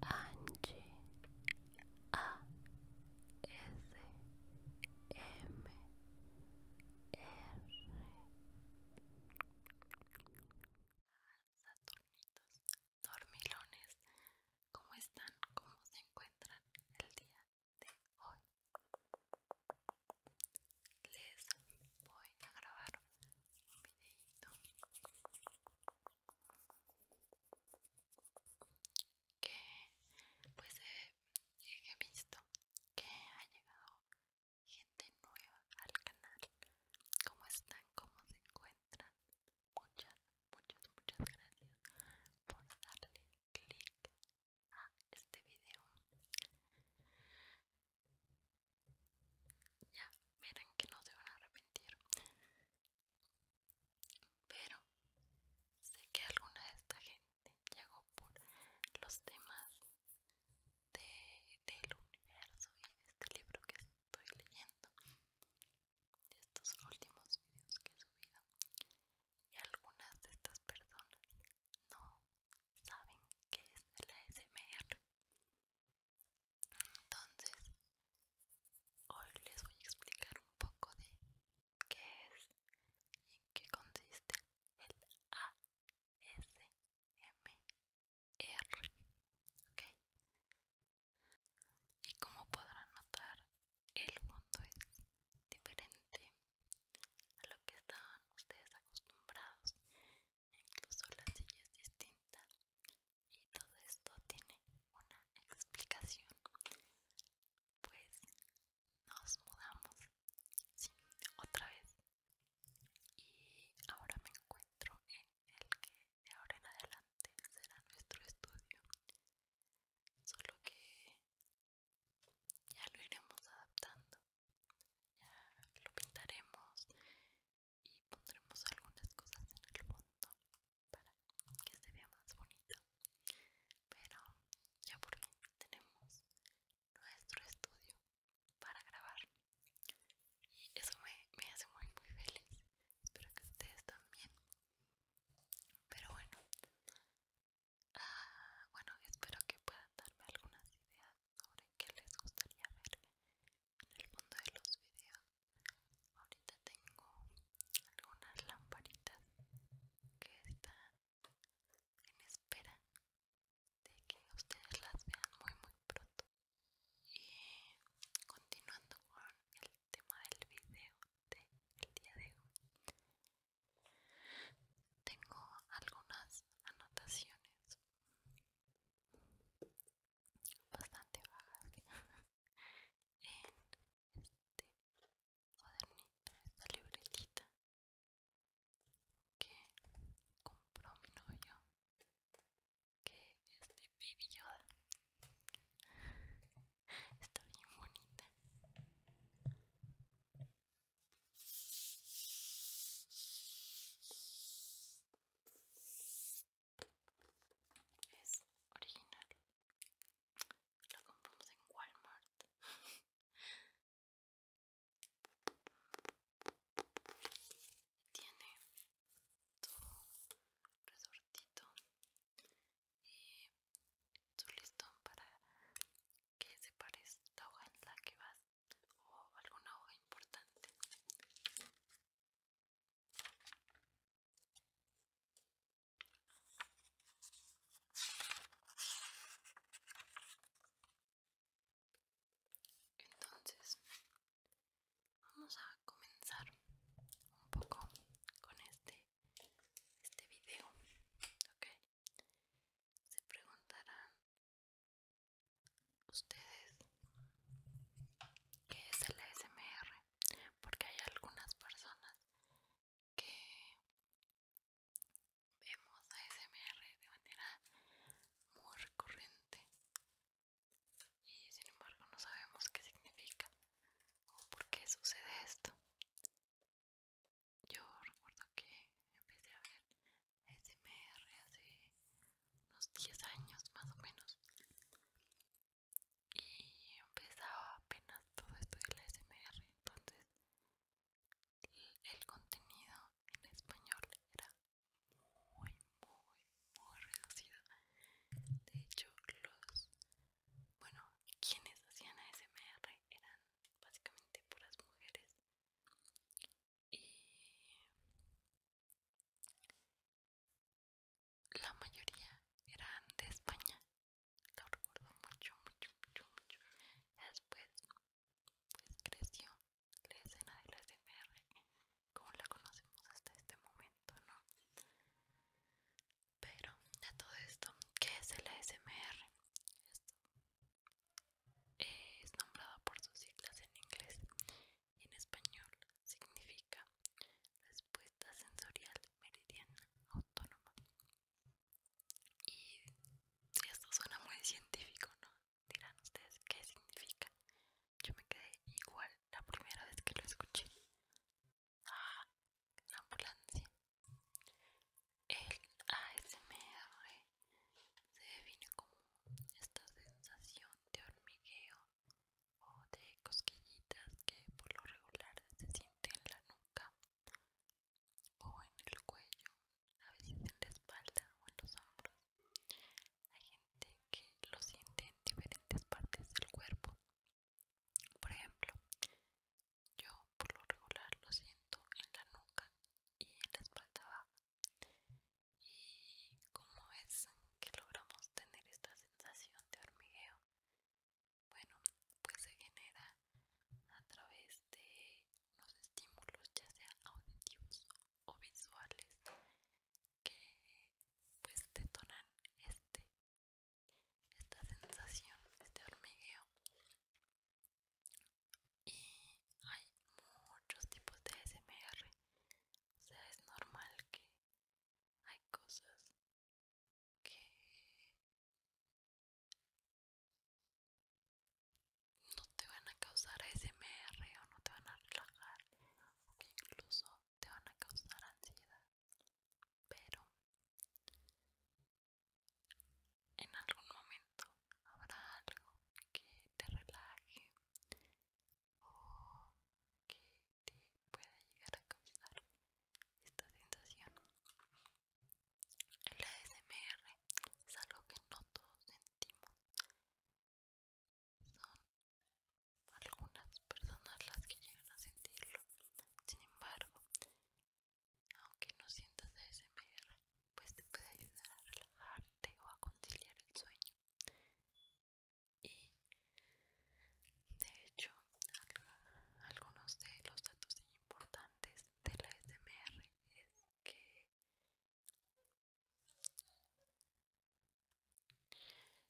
안지 아 S M R Saturnitos, dormilones, ¿cómo están? ¿Cómo se encuentran el día de hoy? Les voy a grabar un videito que pues eh, he visto que ha llegado gente nueva al canal cómo están cómo se encuentran muchas muchas muchas gracias por darle click a este video ya verán que no se van a arrepentir pero sé que alguna de esta gente llegó por los temas del universo y de este libro que estoy leyendo, de estos últimos videos que he subido. Y algunas de estas personas no saben qué es el ASMR. Entonces, hoy les voy a explicar un poco de qué es y qué consiste el ASMR. R. Okay. Y como podrán notar, el fondo es diferente a lo que estaban ustedes acostumbrados. Incluso la silla es distinta. Y todo esto tiene una explicación. Pues nos mudamos. otra vez y ahora me encuentro en el que de ahora en adelante será nuestro estudio solo que ya lo iremos adaptando ya lo pintaremos y pondremos algunas cosas en el fondo para que se vea más bonito pero ya por fin tenemos nuestro estudio para grabar y eso me, hace muy muy feliz espero que ustedes también pero bueno ah, bueno espero que puedan darme algunas ideas sobre qué les gustaría ver en el mundo de los videos ahorita tengo algunas lamparitas que están en espera de que ustedes las vean muy muy pronto y continuando con el tema del video del día de hoy tengo algunas anotaciones bastante vagas en este cuadernito esta libretita que compró mi novio, que es de Baby Está bien bonita. Es original. La compramos en Walmart. tiene tu resortito y tu listón para que separes la hoja en la que vas o alguna hoja importante entonces, vamos a comenzar un poco con este este video, ¿ok? Se preguntarán ustedes qué es el ASMR, porque hay algunas personas que vemos ASMR de manera muy recurrente y sin embargo no sabemos qué significa o por qué sucede esto. Yo recuerdo que empecé a ver SMR hace unos 10 años más o menos y empezaba apenas todo esto de la SMR, entonces el contenido en español era muy, muy muy reducida. De hecho, los. Bueno, quienes hacían ASMR eran básicamente puras mujeres. Y. La mayoría eran de España. Lo recuerdo mucho, mucho, mucho, mucho. Después, pues creció la escena de la SMR como la conocemos hasta este momento, ¿no? Pero a todo esto, ¿qué es el SMR? Esto es nombrado por sus siglas en inglés y en español significa respuesta sensorial meridiana autónoma. Y esto suena muy científico, ¿no? dirán ustedes qué significa. Yo me quedé igual la primera vez que lo escuché. Ah, la ambulancia. El ASMR se define como esta sensación de hormigueo o de cosquillitas que por lo regular se siente en la nuca o en el cuello a veces en la espalda o en los hombros. Hay gente que lo siente en diferentes partes del cuerpo. Por ejemplo, yo por lo regular lo siento en la nuca y en la espalda baja. Y cómo es que logramos tener esta sensación de hormigueo. Bueno, pues se genera a través de los estímulos, ya sea auditivos o visuales que pues detonan este esta sensación, este hormigueo y hay muchos tipos de SMR o sea es normal que hay cosas que no te van a causar ASMR o no te van a relajar o que incluso te van a causar ansiedad pero en algún momento habrá algo que te relaje o que te pueda llegar a causar esta sensación. El ASMR es algo que no todos son algunas personas las que llegan a sentirlo. Sin embargo, aunque no sientas ASMR, pues te puede ayudar a relajarte o a conciliar el sueño. Y de hecho, algunos de los datos importantes de la SMR es que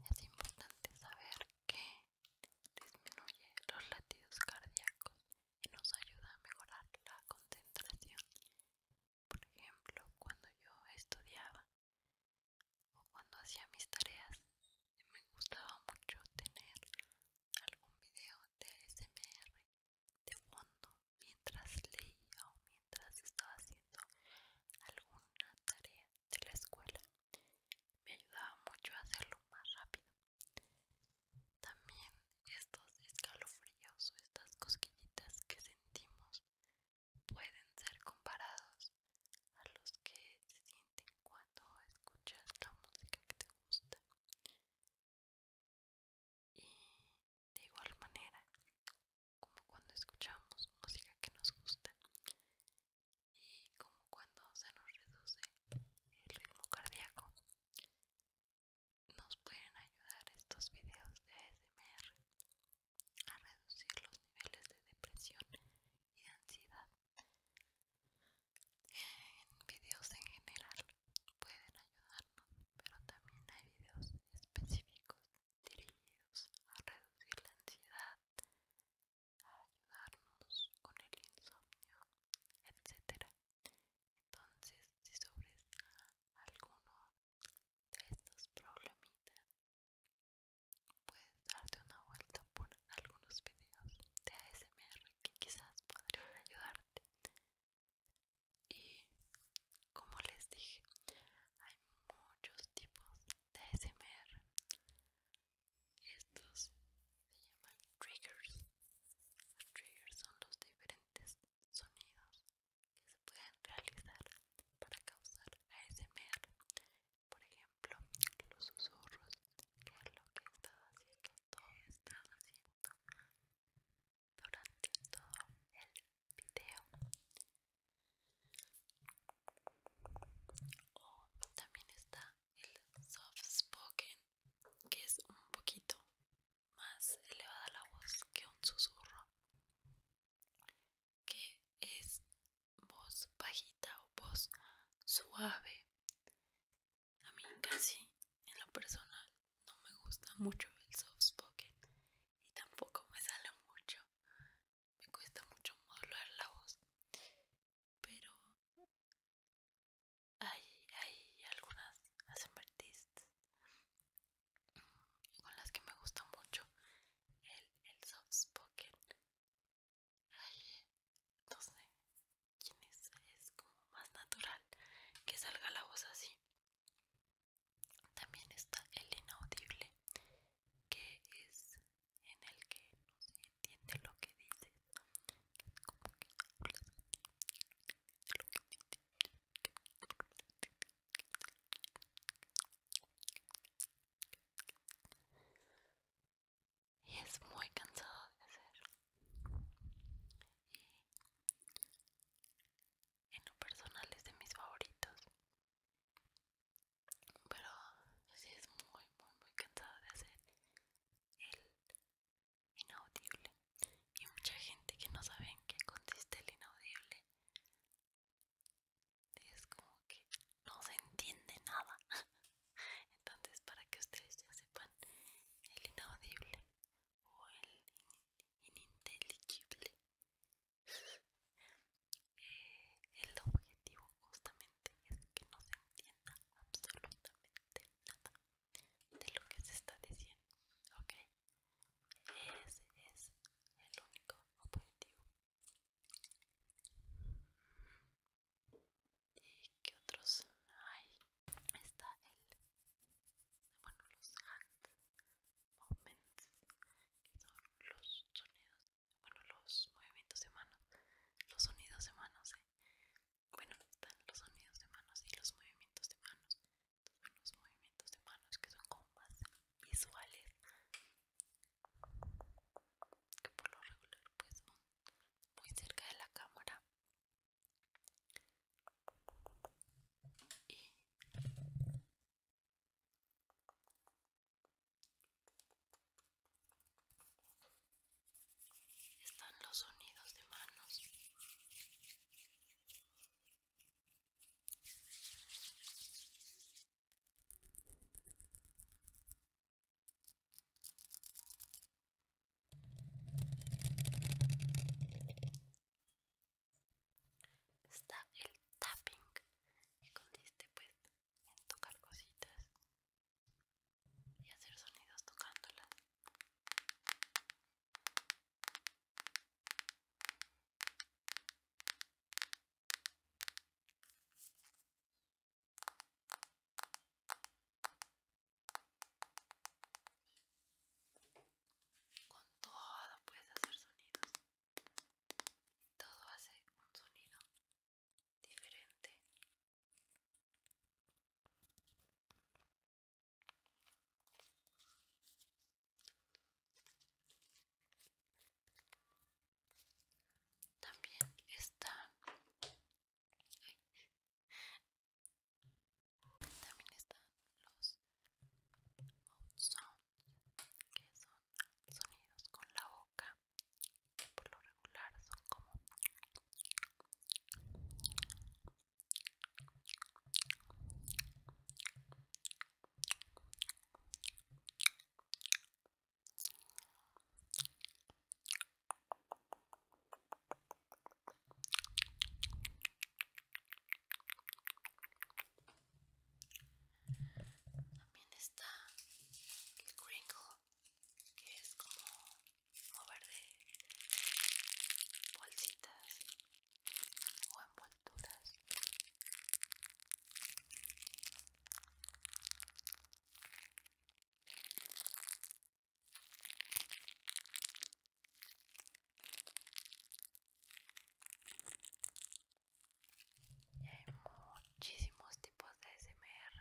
es importante saber que disminuye los latidos cardíacos y nos ayuda a mejorar la concentración. Por ejemplo, cuando yo estudiaba o cuando hacía mis tareas, me gustaba mucho tener algún video de SMR de fondo mientras leía o mientras estaba haciendo alguna tarea de la escuela. Me ayudaba mucho a hacerlo más rápido. También estos escalofríos o estas cosquillitas que sentimos pueden ser comparados a los que se sienten cuando escuchas la música que te gusta y de igual manera como cuando escuchamos música que nos gusta y como cuando se nos reduce el ritmo cardíaco nos pueden ayudar estos videos de ASMR a reducir los niveles de depresión y ansiedad en videos en general pueden ayudarnos, pero también hay videos específicos dirigidos a reducir la ansiedad, a ayudarnos con el insomnio, etc. Entonces, si sobres alguno de estos problemitas, puedes darte una vuelta por algunos videos de ASMR que quizás podrían ayudarte y como les dije hay muchos tipos de ASMR estos se llaman triggers los triggers son los diferentes sonidos que se pueden realizar para causar ASMR por ejemplo los susurros que es lo que estás haciendo todo haciendo durante todo el video oh, también está el soft spoken que es un poquito más elevada la voz que un susurro que es voz bajita o voz suave a mí casi, en lo personal, no me gusta mucho el soft spoken y tampoco me sale mucho. Me cuesta mucho modular la voz. Pero hay, hay algunas artistas con las que me gusta mucho el, el soft spoken. Ay, no sé quién es, es como más natural que salga la voz así. También está el inaudible, que es en el que no se entiende lo que dices. Y es muy cansado de hacer en lo personal es de mis favoritos pero sí es muy muy muy cansado de hacer el inaudible y mucha gente que no sabe en qué consiste el inaudible es como que no se entiende nada entonces para que ustedes ya sepan el inaudible o el ininteligible. Eh, el objetivo justamente es que no se entienda absolutamente nada de lo que se está diciendo, ¿ok? Ese es el único objetivo. ¿Y qué otros hay? está el, bueno, los hand movements, que son los sonidos, bueno, los movimientos de manos, los sonidos de manos, ¿eh? bueno, están los sonidos de manos y los movimientos de manos, los movimientos de manos que son como más visuales, que por lo regular pues son muy cerca de la cámara están los sonidos de manos Está el tapping, que consiste pues en tocar cositas y hacer sonidos tocándolas. Con todo puedes hacer sonidos. Todo hace un sonido diferente. También está también están los out sounds, que son sonidos con la boca, que por lo regular son como también está el cringo que es como mover de bolsitas o envolturas. Y hay muchísimos tipos de SMR.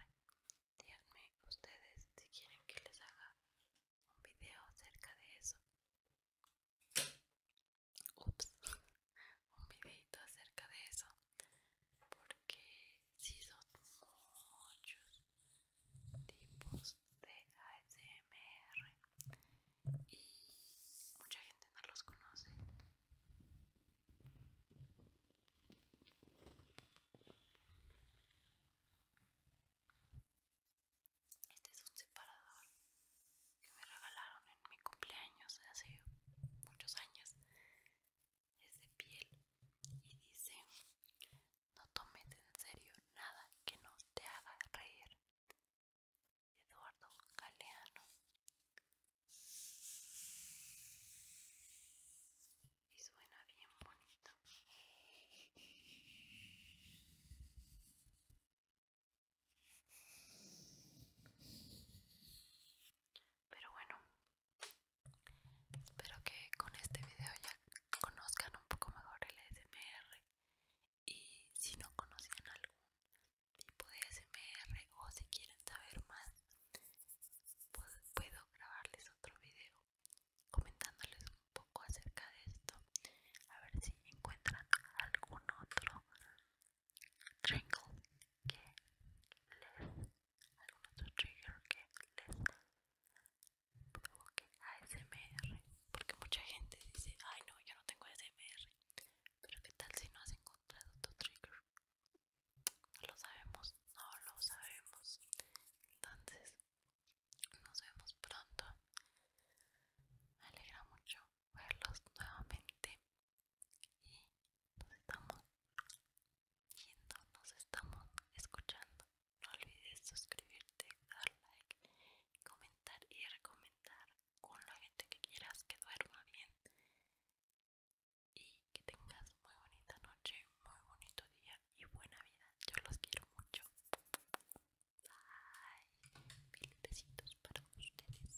Díganme ustedes si quieren que les haga un video acerca de eso. Ups, un videito acerca de eso. Porque si son muchos, tipos de ASMR y mucha gente no los conoce. Este es un separador que me regalaron en mi cumpleaños hace muchos años. Es de piel y dice no tomes en serio nada que no te haga reír. Eduardo Galeano. Y suena bien bonito. Pero bueno, espero que con este video ya conozcan un poco mejor el SMR y si no conocen algún tipo de SMR o si quieren saber más pues puedo grabarles otro video comentándoles un poco acerca de esto a ver si encuentran algún otro que algún otro trigger que les ASMR, porque mucha gente dice, ay no, yo no tengo ASMR, pero qué tal si no has encontrado tu trigger, no lo sabemos, no lo sabemos, entonces nos vemos pronto, me alegra mucho verlos nuevamente y nos estamos viendo nos estamos escuchando no olvides suscribirte, dar like, comentar y recomendar con la gente que quieras que duerma bien y que tengas muy bonita noche, muy bonito día y buena vida. Yo los quiero mucho. Bye. Mil besitos para ustedes.